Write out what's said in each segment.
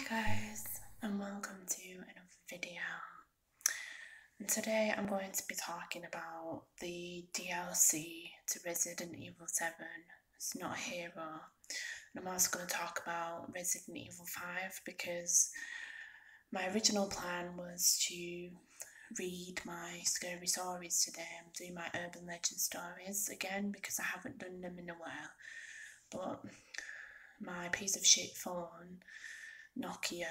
Hi guys and welcome to another video and today I'm going to be talking about the DLC to Resident Evil 7 it's not a hero and I'm also going to talk about Resident Evil 5 because my original plan was to read my scary stories to them, do my urban legend stories again because I haven't done them in a while but my piece of shit phone, Nokia,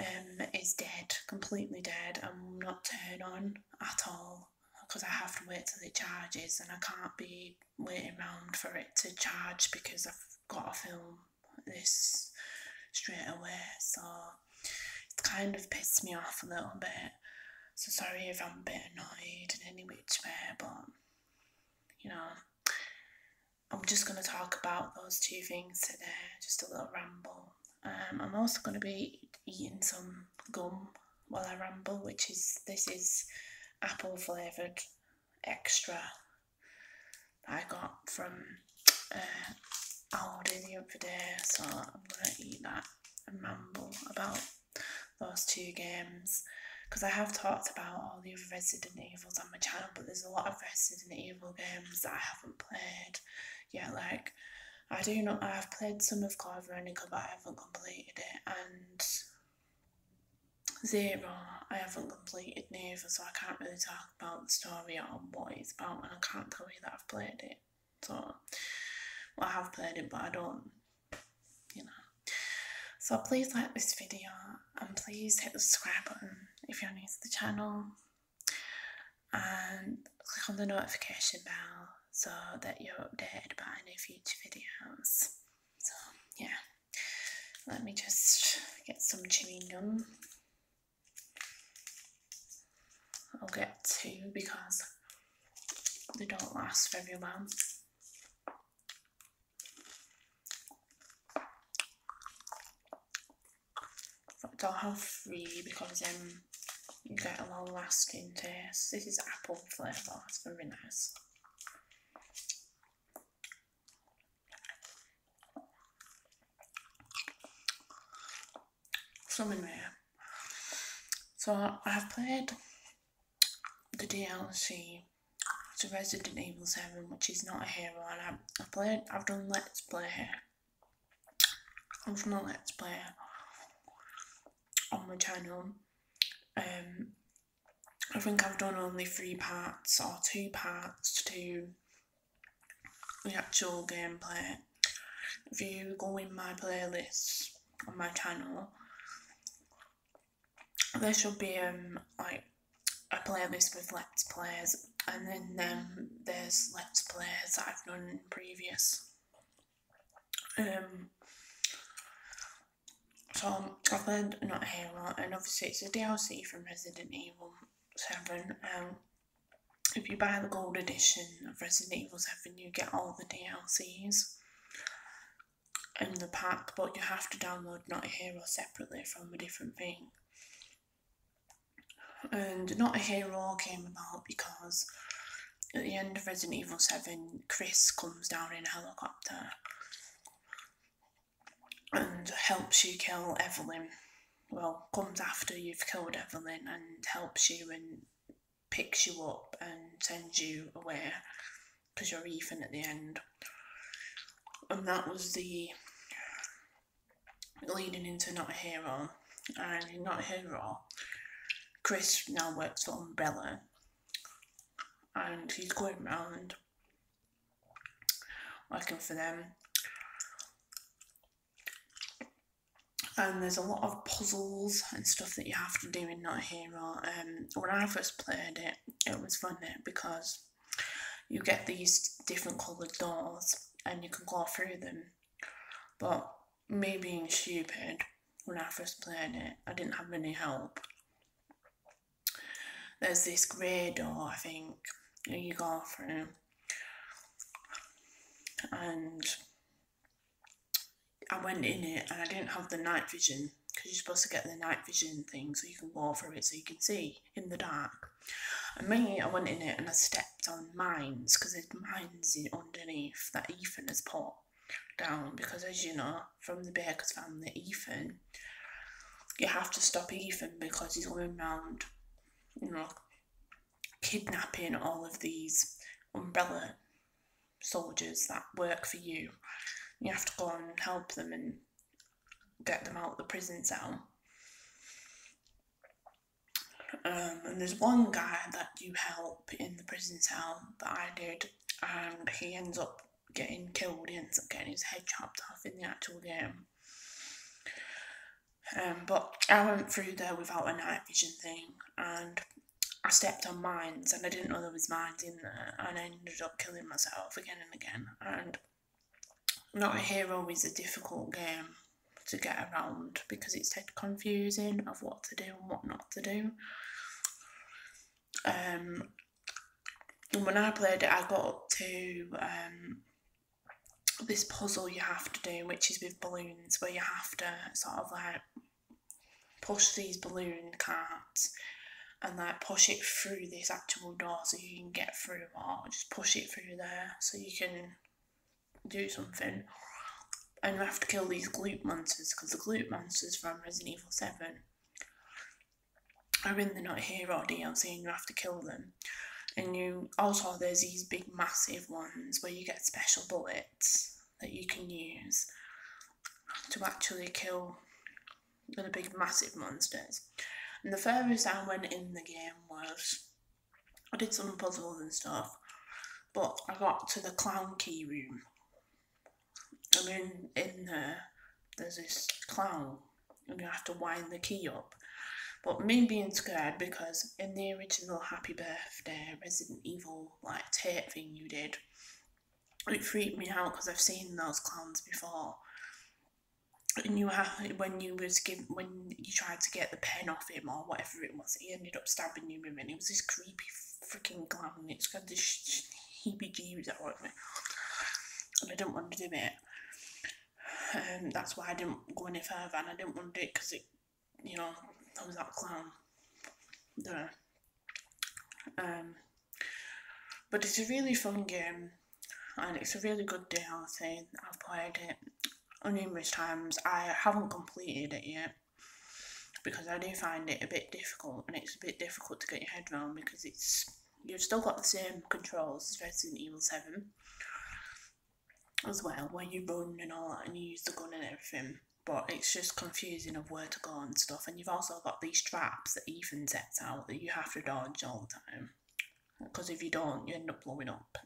um, is dead, completely dead, I'm not turn on at all because I have to wait till it charges and I can't be waiting around for it to charge because I've got to film this straight away. So it's kind of pissed me off a little bit. So sorry if I'm a bit annoyed in any which way, but you know, I'm just going to talk about those two things today, just a little ramble. Um, I'm also going to be eating some gum while I ramble, which is this is apple flavoured extra I got from uh, Aldi the other day, so I'm going to eat that and ramble about those two games because I have talked about all the other Resident Evils on my channel, but there's a lot of Resident Evil games that I haven't played yet. Like, I do not I've played some of Code Veronica, but I haven't completed it, and Zero, I haven't completed neither, so I can't really talk about the story or what it's about, and I can't tell you that I've played it. So, I have played it, but I don't you know. So please like this video and please hit the subscribe button if you're new to the channel and click on the notification bell so that you're updated about any future videos. So yeah, let me just get some chewing gum. I'll get two because they don't last very well. Not have free because um, you get a long lasting taste. This is apple flavour, it's very nice. Some in So I have played the DLC to Resident Evil 7, which is not a hero, and I, I played, I've done Let's Play. i am done a Let's Play on my channel. Um, I think I've done only three parts or two parts to the actual gameplay. If you go in my playlist, on my channel there should be um like a playlist with let's plays and then um, there's let's plays that I've known in previous um so I've played not here, and obviously it's a DLC from Resident Evil 7 um if you buy the gold edition of Resident Evil 7 you get all the DLCs in the pack, but you have to download Not a Hero separately from a different thing. And Not a Hero came about because at the end of Resident Evil 7, Chris comes down in a helicopter and helps you kill Evelyn. Well, comes after you've killed Evelyn and helps you and picks you up and sends you away because you're even at the end. And that was the leading into Not a Hero. And Not a Hero, Chris now works for Umbrella and he's going around working for them and there's a lot of puzzles and stuff that you have to do in Not Hero. Um, when I first played it, it was fun eh, because you get these different coloured doors and you can go through them. But me being stupid, when I first played it, I didn't have any help. There's this grey door, I think, you go through, and I went in it and I didn't have the night vision because you're supposed to get the night vision thing so you can walk through it so you can see in the dark. And me, I went in it and I stepped on mines because there's mines underneath that Ethan has put down because, as you know, from the I'm the Ethan, you have to stop Ethan because he's going around, you know, kidnapping all of these umbrella soldiers that work for you. You have to go and help them and get them out of the prison cell. Um, and there's one guy that you help in the prison cell that I did, and he ends up getting killed. He ends up getting his head chopped off in the actual game. Um, but I went through there without a night vision thing, and I stepped on mines and I didn't know there was mines in there and I ended up killing myself again and again and not a hero is a difficult game to get around because it's confusing of what to do and what not to do. Um, and when I played it, I got to um, this puzzle you have to do, which is with balloons, where you have to sort of like push these balloon carts and like push it through this actual door so you can get through or just push it through there so you can do something. And you have to kill these glute monsters because the glute monsters from Resident Evil 7 are in the Not I'm saying you have to kill them. And you also there's these big massive ones where you get special bullets that you can use to actually kill the big massive monsters. And the furthest I went in the game was I did some puzzles and stuff, but I got to the clown key room. And in in there there's this clown and you have to wind the key up. But me being scared because in the original Happy Birthday Resident Evil like tape thing you did. It freaked me out because I've seen those clowns before. And you have when you was give when you tried to get the pen off him or whatever it was, he ended up stabbing you with it. was this creepy freaking clown. it's got this sh- heebie-jeebies out of me, and I didn't want to do it. Um, that's why I didn't go any further, and I didn't want to do it because it you know, I was clown. do Um, but it's a really fun game and it's a really good DLC. I've played it numerous times. I haven't completed it yet because I do find it a bit difficult and it's a bit difficult to get your head around because it's you've still got the same controls as Resident Evil 7 as well where you run and all that and you use the gun and everything but it's just confusing of where to go and stuff and you've also got these traps that even sets out that you have to dodge all the time because if you don't you end up blowing up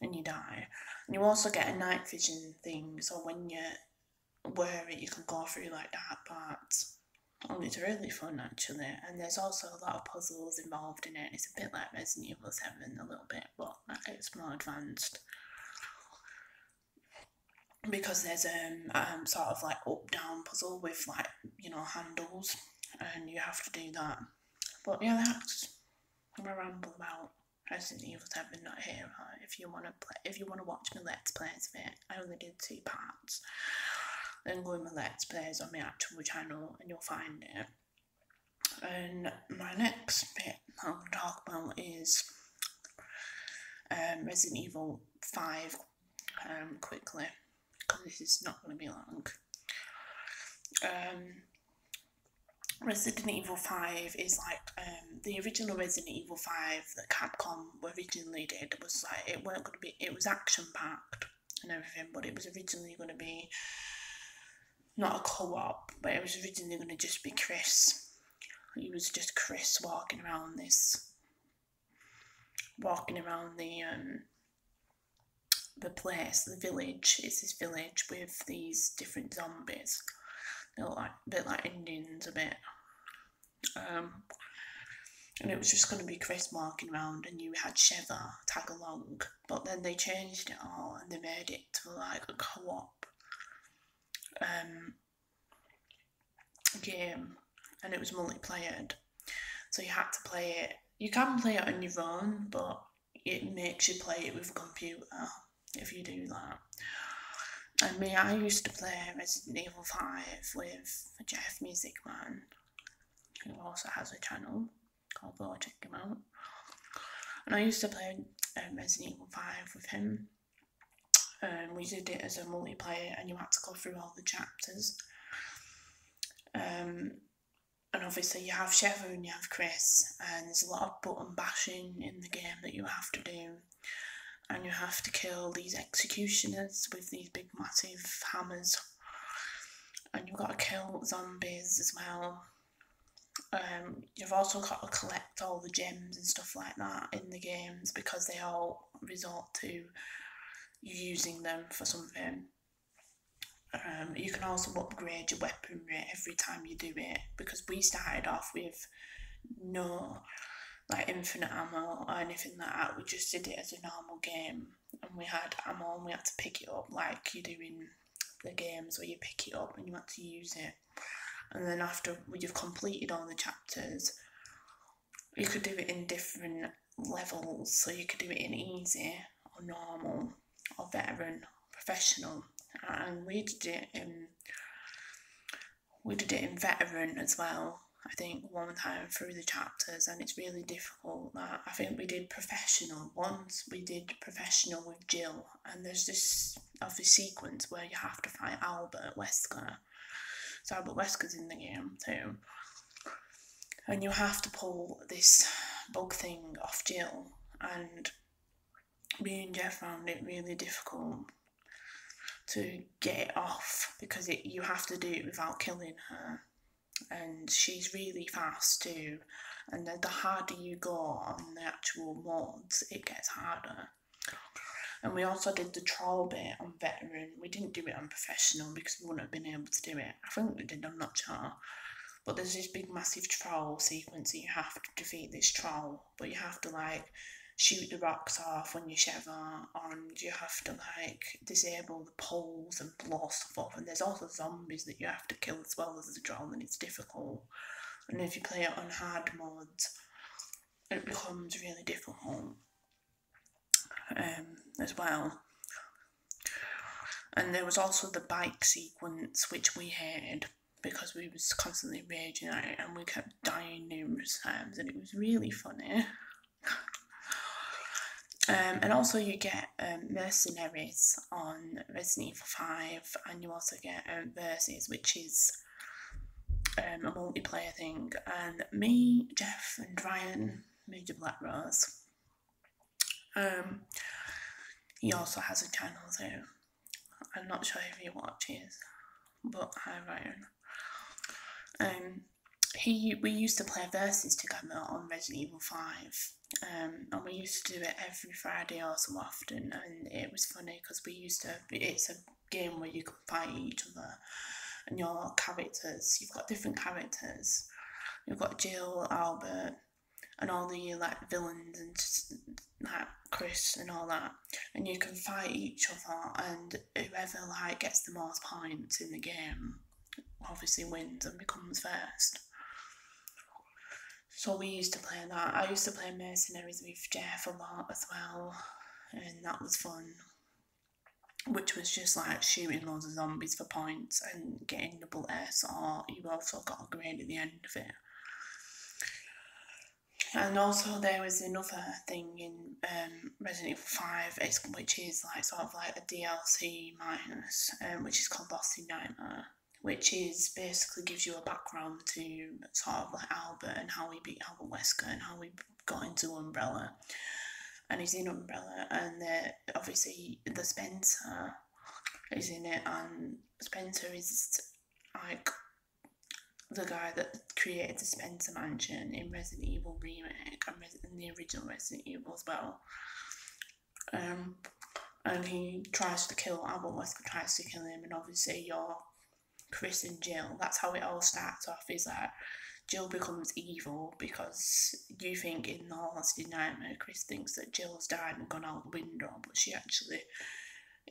and you die and you also get a night vision thing so when you wear it you can go through like that But and it's really fun actually and there's also a lot of puzzles involved in it it's a bit like Resident Evil 7 a little bit well, but it's more advanced because there's a um, um, sort of like up down puzzle with like you know handles, and you have to do that. But yeah, that's I'm what I ramble about. Resident Evil 7 not here. If you wanna play, if you wanna watch my let's plays of it, I only did two parts. Then go in my let's plays on my actual channel and you'll find it. And my next bit that I'll talk about is um, Resident Evil 5 um, quickly because this is not going to be long. Um, Resident Evil 5 is like um, the original Resident Evil 5 that Capcom originally did was like it weren't going to be it was action packed and everything but it was originally going to be not a co-op, but it was originally going to just be Chris. He was just Chris walking around this, walking around the um, the place, the village. It's this village with these different zombies. They're like a bit like Indians, a bit. Um, and it was just going to be Chris walking around, and you had Sheva tag along, but then they changed it all and they made it to like a co-op um, game, and it was multiplayer. So you had to play it. You can play it on your own, but it makes you play it with a computer if you do that. I mean, I used to play Resident Evil 5 with Jeff Music Man, who also has a channel i check him out. And I used to play um, Resident Evil 5 with him. Um, we did it as a multiplayer, and you had to go through all the chapters. Um, and obviously, you have Chevron, you have Chris, and there's a lot of button bashing in the game that you have to do. And you have to kill these executioners with these big, massive hammers and you've got to kill zombies as well. Um, you've also got to collect all the gems and stuff like that in the games because they all resort to using them for something. Um, you can also upgrade your weaponry every time you do it because we started off with no like infinite ammo or anything like that. We just did it as a normal game and we had ammo and we had to pick it up like you do in the games where you pick it up and you have to use it. And then after you've completed all the chapters, you could do it in different levels. So you could do it in easy or normal or veteran, professional. And we did it in we did it in veteran as well. I think one time through the chapters, and it's really difficult I think we did professional once, we did professional with Jill, and there's this obvious sequence where you have to fight Albert Wesker. So Albert Wesker's in the game too. And you have to pull this bug thing off Jill, and me and Jeff found it really difficult to get it off because it, you have to do it without killing her and she's really fast too. And then the harder you go on the actual mods, it gets harder. And we also did the troll bit on veteran. We didn't do it on professional because we wouldn't have been able to do it. I think we did, on am not sure. But there's this big massive troll sequence that you have to defeat this troll, but you have to like shoot the rocks off when you shove on, and you have to like disable the poles and blow stuff off, and there's also zombies that you have to kill as well as the drone, and it's difficult. And if you play it on hard modes, it becomes really difficult um, as well. And there was also the bike sequence, which we had because we was constantly regenerating, and we kept dying numerous times, and it was really funny. Um, and also you get um, mercenaries on Resident Evil 5 and you also get um, Versus which is um, a multiplayer thing and me, Jeff and Ryan made a Black Rose. Um, he also has a channel there. I'm not sure if he watches but I, Ryan. Um, he we used to play verses together on Resident Evil Five, um, and we used to do it every Friday also often, and it was funny because we used to. It's a game where you can fight each other, and your characters. You've got different characters. You've got Jill, Albert, and all the like villains and like Chris and all that, and you can fight each other, and whoever like gets the most points in the game obviously wins and becomes first. So we used to play that. I used to play Mercenaries with Jeff a lot as well, and that was fun. Which was just like shooting loads of zombies for points and getting double S, or you also got a grade at the end of it. And also, there was another thing in um, Resident Evil 5, which is like sort of like a DLC minus, um, which is called Lost Nightmare, which is basically gives you a background to sort of like Albert and how he beat Albert Wesker and how we got into Umbrella. And he's in Umbrella, and obviously the Spencer is in it, and Spencer is like the guy that created the Spencer Mansion in Resident Evil Remake in the original Resident Evil as well. Um, and he tries to kill Albert Wesker tries to kill him, and obviously your Chris and Jill. That's how it all starts off. Is that Jill becomes evil because you think in the Haunted Nightmare, Chris thinks that Jill's died and gone out the window, but she actually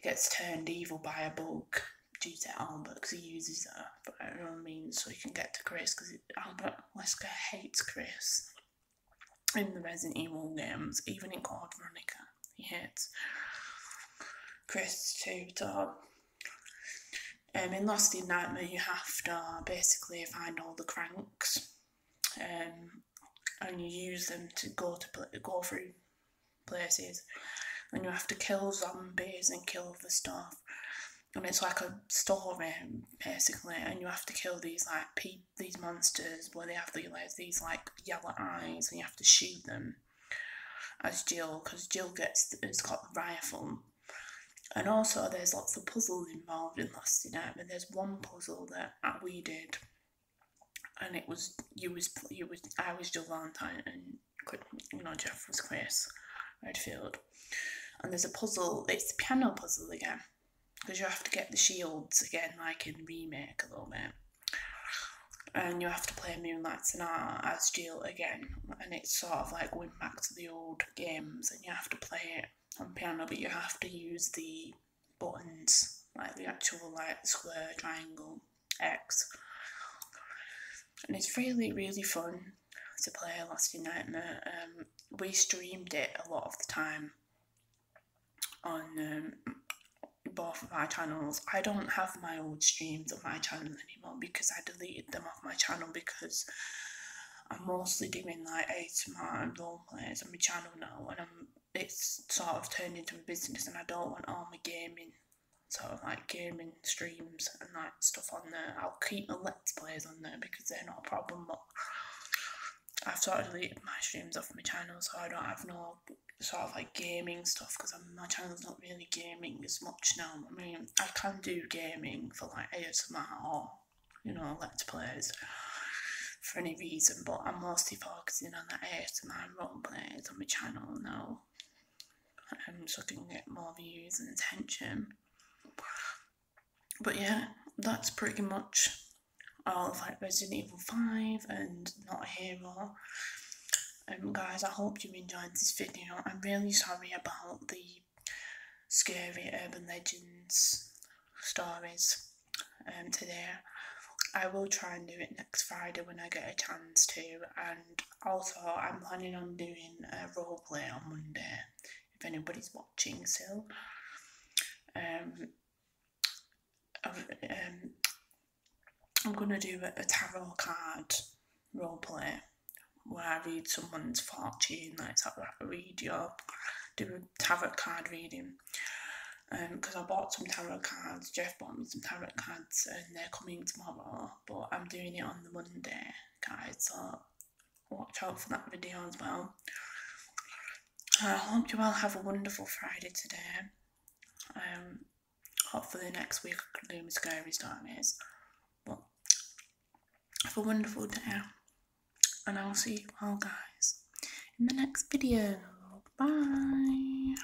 gets turned evil by a bug due to Albert because he uses her for her means so he can get to Chris because Albert Wesker hates Chris in the Resident Evil games, even in Code Veronica. He hates Chris too, dog. Um, in Lost Nightmare, you have to basically find all the cranks, um, and you use them to go to go through places, and you have to kill zombies and kill the stuff and it's like a story um, basically, and you have to kill these like pe- these monsters where they have the, like, these like yellow eyes, and you have to shoot them as Jill because Jill gets has got the rifle. And also, there's lots of puzzles involved in Last Night, but there's one puzzle that we did, and it was you was you was I was Jill Valentine and Good, you know, Jeff was Chris, Redfield. And there's a puzzle, it's a piano puzzle again, because you have to get the shields again, like in Remake a little bit. And you have to play Moonlight Sonata as Jill again, and it's sort of like going back to the old games, and you have to play it on piano, but you have to use the buttons, like the actual like square, triangle, X and it's really, really fun to play Last Nightmare. Um, we streamed it a lot of the time on um, both of our channels. I don't have my old streams on my channel anymore because I deleted them off my channel because I'm mostly doing like ASMR my role players on my channel now and I'm, it's sort of turned into a business and I don't want all my gaming sort of like gaming streams and that stuff on there. I'll keep my let's plays on there because they're not a problem. But I've started to deleted my streams off my channel, so I don't have no sort of like gaming stuff because my channel's not really gaming as much now. I mean, I can do gaming for like ASMR or you know let's plays for any reason, but I'm mostly focusing on the ASMR role plays on my channel now and so I can get more views and attention. But yeah, that's pretty much all of like Resident Evil 5 and Not a Hero. Um, guys, I hope you enjoyed this video. I'm really sorry about the scary urban legends stories um, today. I will try and do it next Friday when I get a chance to, and also, I'm planning on doing a role play on Monday if anybody's watching so, Um, um, I'm gonna do a, tarot card role play where I read someone's fortune, That's how of read your do a tarot card reading. Um, because I bought some tarot cards, Jeff bought me some tarot cards, and they're coming tomorrow but I'm doing it on the Monday, guys, so watch out for that video as well. I hope you all have a wonderful Friday today. Um, the next week I can do my scary stories. But have a wonderful day, and I'll see you all guys in the next video. Bye.